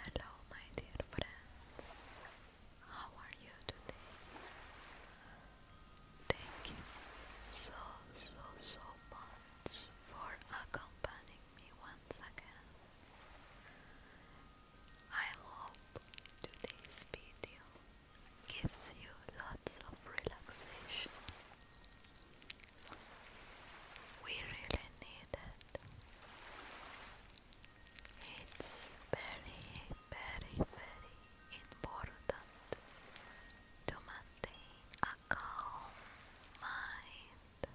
Hello, my dear friends, how are you today? Thank you so, so, so much for accompanying me once again. I hope today's video gives you lots of relaxation we really need it. It's very, very, very important to maintain a calm mind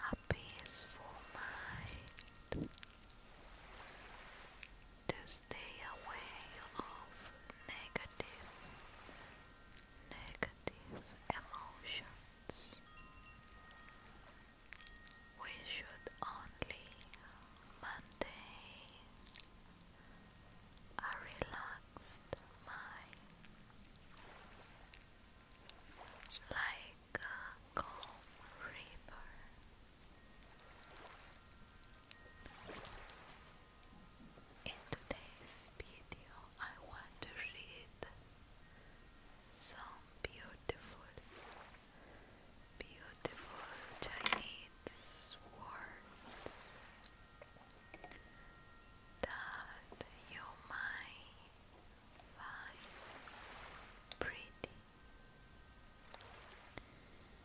and a peaceful mind to stay away of negative negative emotions. We should only maintain a relaxed mind like a calm river. In today's video, I want to read some beautiful, beautiful Chinese words that you might find pretty.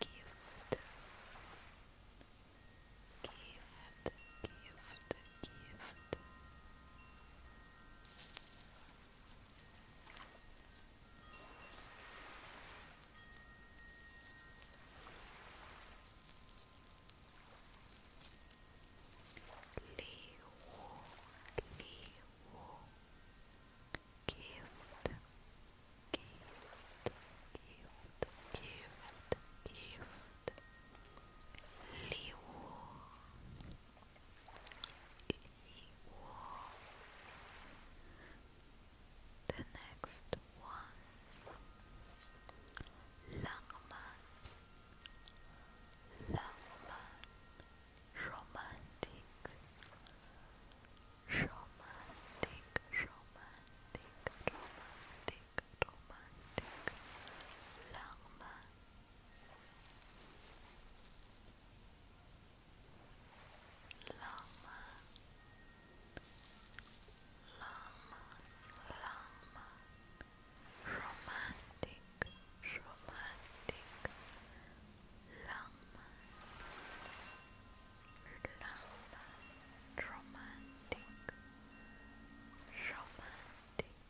gift, gift, gift, gift. Li Wu, Li Wu, gift, gift, gift, gift, gift. The next one, romantic, romantic, romantic, romantic, romantic, Langman. Langman. Langman, Langman, romantic, romantic, Lama Lama Romantic Romantic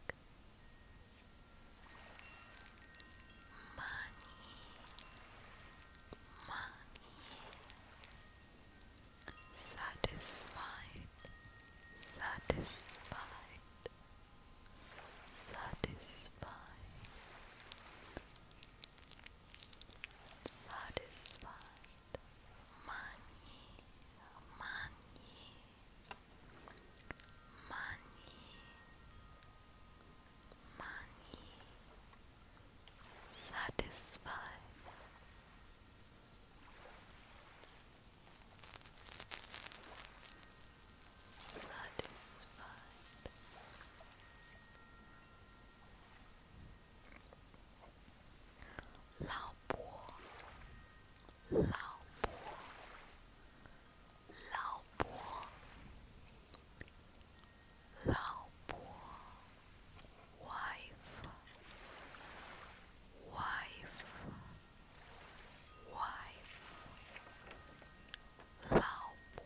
Money Money Satisfied Satisfied Satisfied satisfied money money money money satisfied satisfied 老婆，老婆，老婆，老婆，wife，wife，wife，老婆。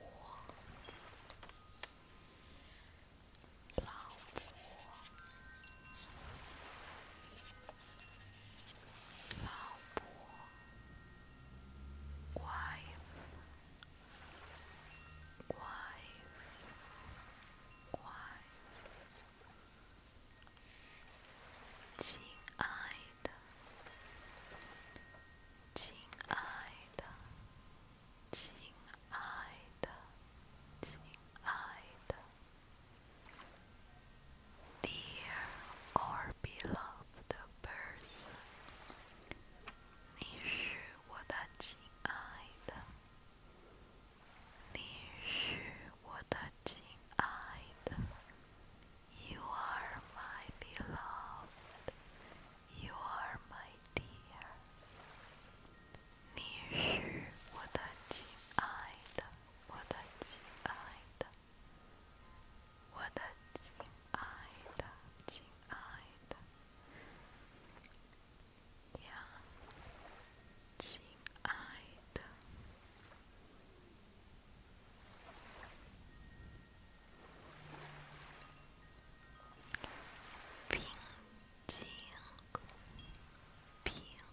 老婆，老婆，乖，乖，亲爱的。亲爱的，亲爱的，亲爱的，Dear or beloved person，你是我的亲爱的，你是我的亲爱的。You are my beloved. You are my dear. 你是我的亲爱的，我的亲爱的，我的亲爱的，亲爱的，呀，亲爱的。Pintinho, pintinho,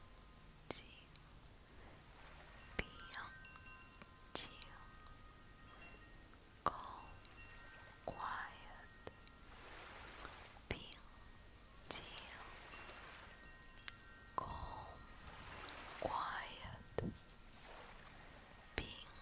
pintinho. Go quiet, pintinho. quiet, pintinho.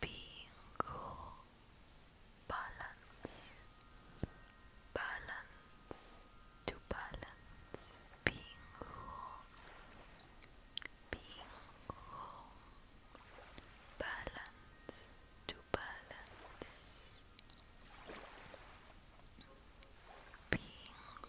Bingo. Balance. Balance. To balance. Bingo. Bingo. Balance. To balance. Bingo.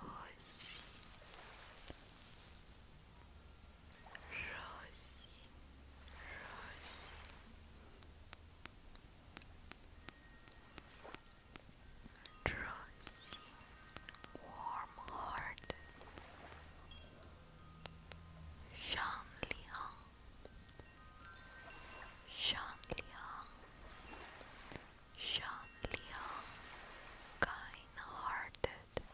Rosy, Rosy, warm heart, Jean Leon, Jean Leon, Sean Leon, kind-hearted,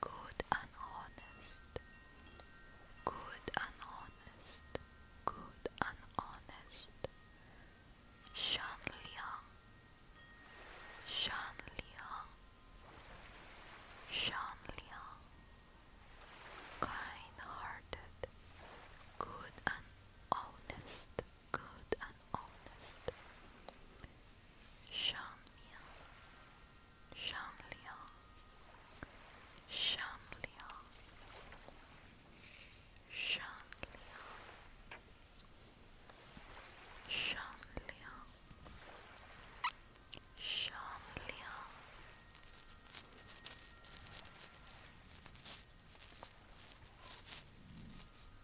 good and honest, good and honest, good and honest. Sean Leon, Sean Leon, Sean Leon, kind-hearted, good and honest good and honest. Shanlia, Shanlia, Shanlia, Shanlia, Shanlia, Shanlia.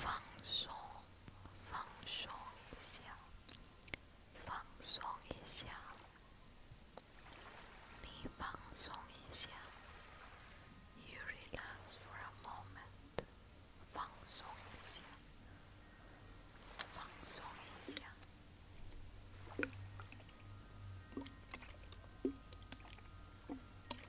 放松，放松一下，放松一下，你放松一下，you relax for a moment，放松一下，放松一下。放松一下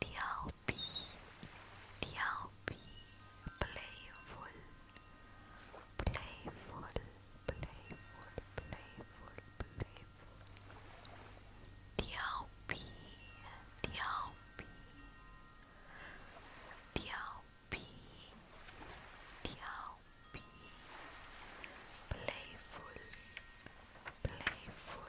the Alpi, the Alpi, playful, playful, playful, playful, playful, the Alpi, the Alpi, the Alpi, the Alpi, playful, playful. Playful,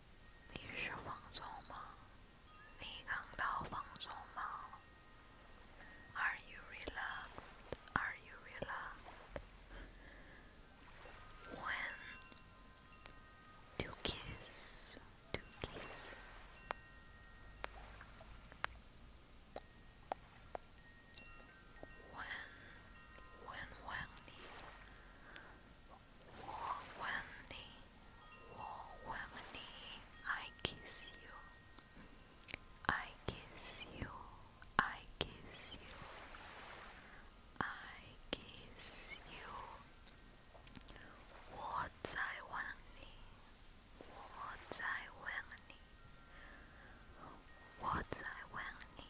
你是放松吗？你感到放松吗？Are you relaxed? Are you relaxed? When to kiss? To kiss? When? When? When? Wawani, Wawani, I kiss you. I kiss you. I kiss you. I kiss you. What I want What I want What I want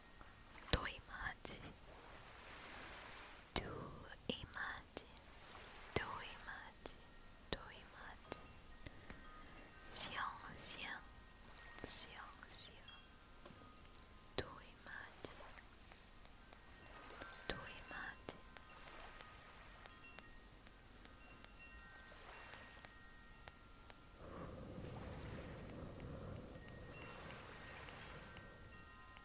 to imagine, to imagine, to imagine, to imagine. Xiang, xiang, xiang, xiang. To imagine, to imagine.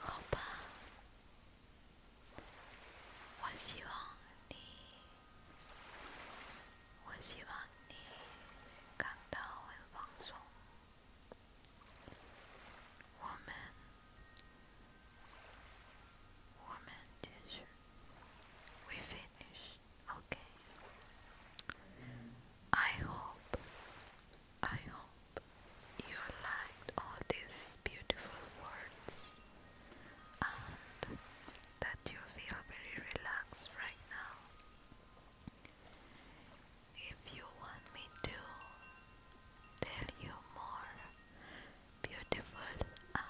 好吧，我希望你，我希望你感到很放松。我们，我们继续。We finished, okay. I hope, I hope you liked all these beautiful words and that you feel very relaxed right now. If you want me to tell you more beautiful and uh,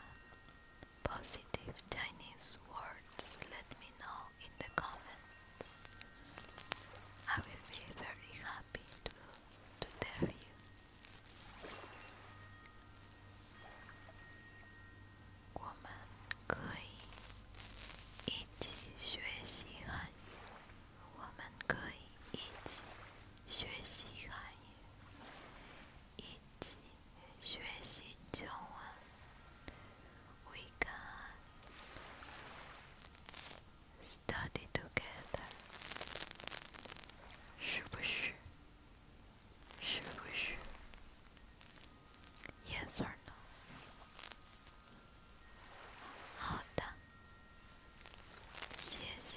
positive Chinese words, let me know in the comments. I will be very happy to, to tell you. 学习中文。We can study together. 是不是？是不是？Yes or no？好的，谢谢。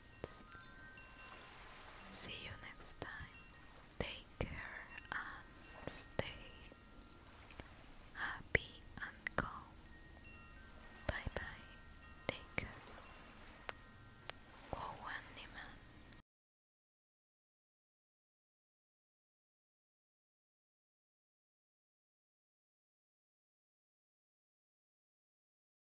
See you next time. Take care and stay happy and calm. Bye bye. Take care. Oh,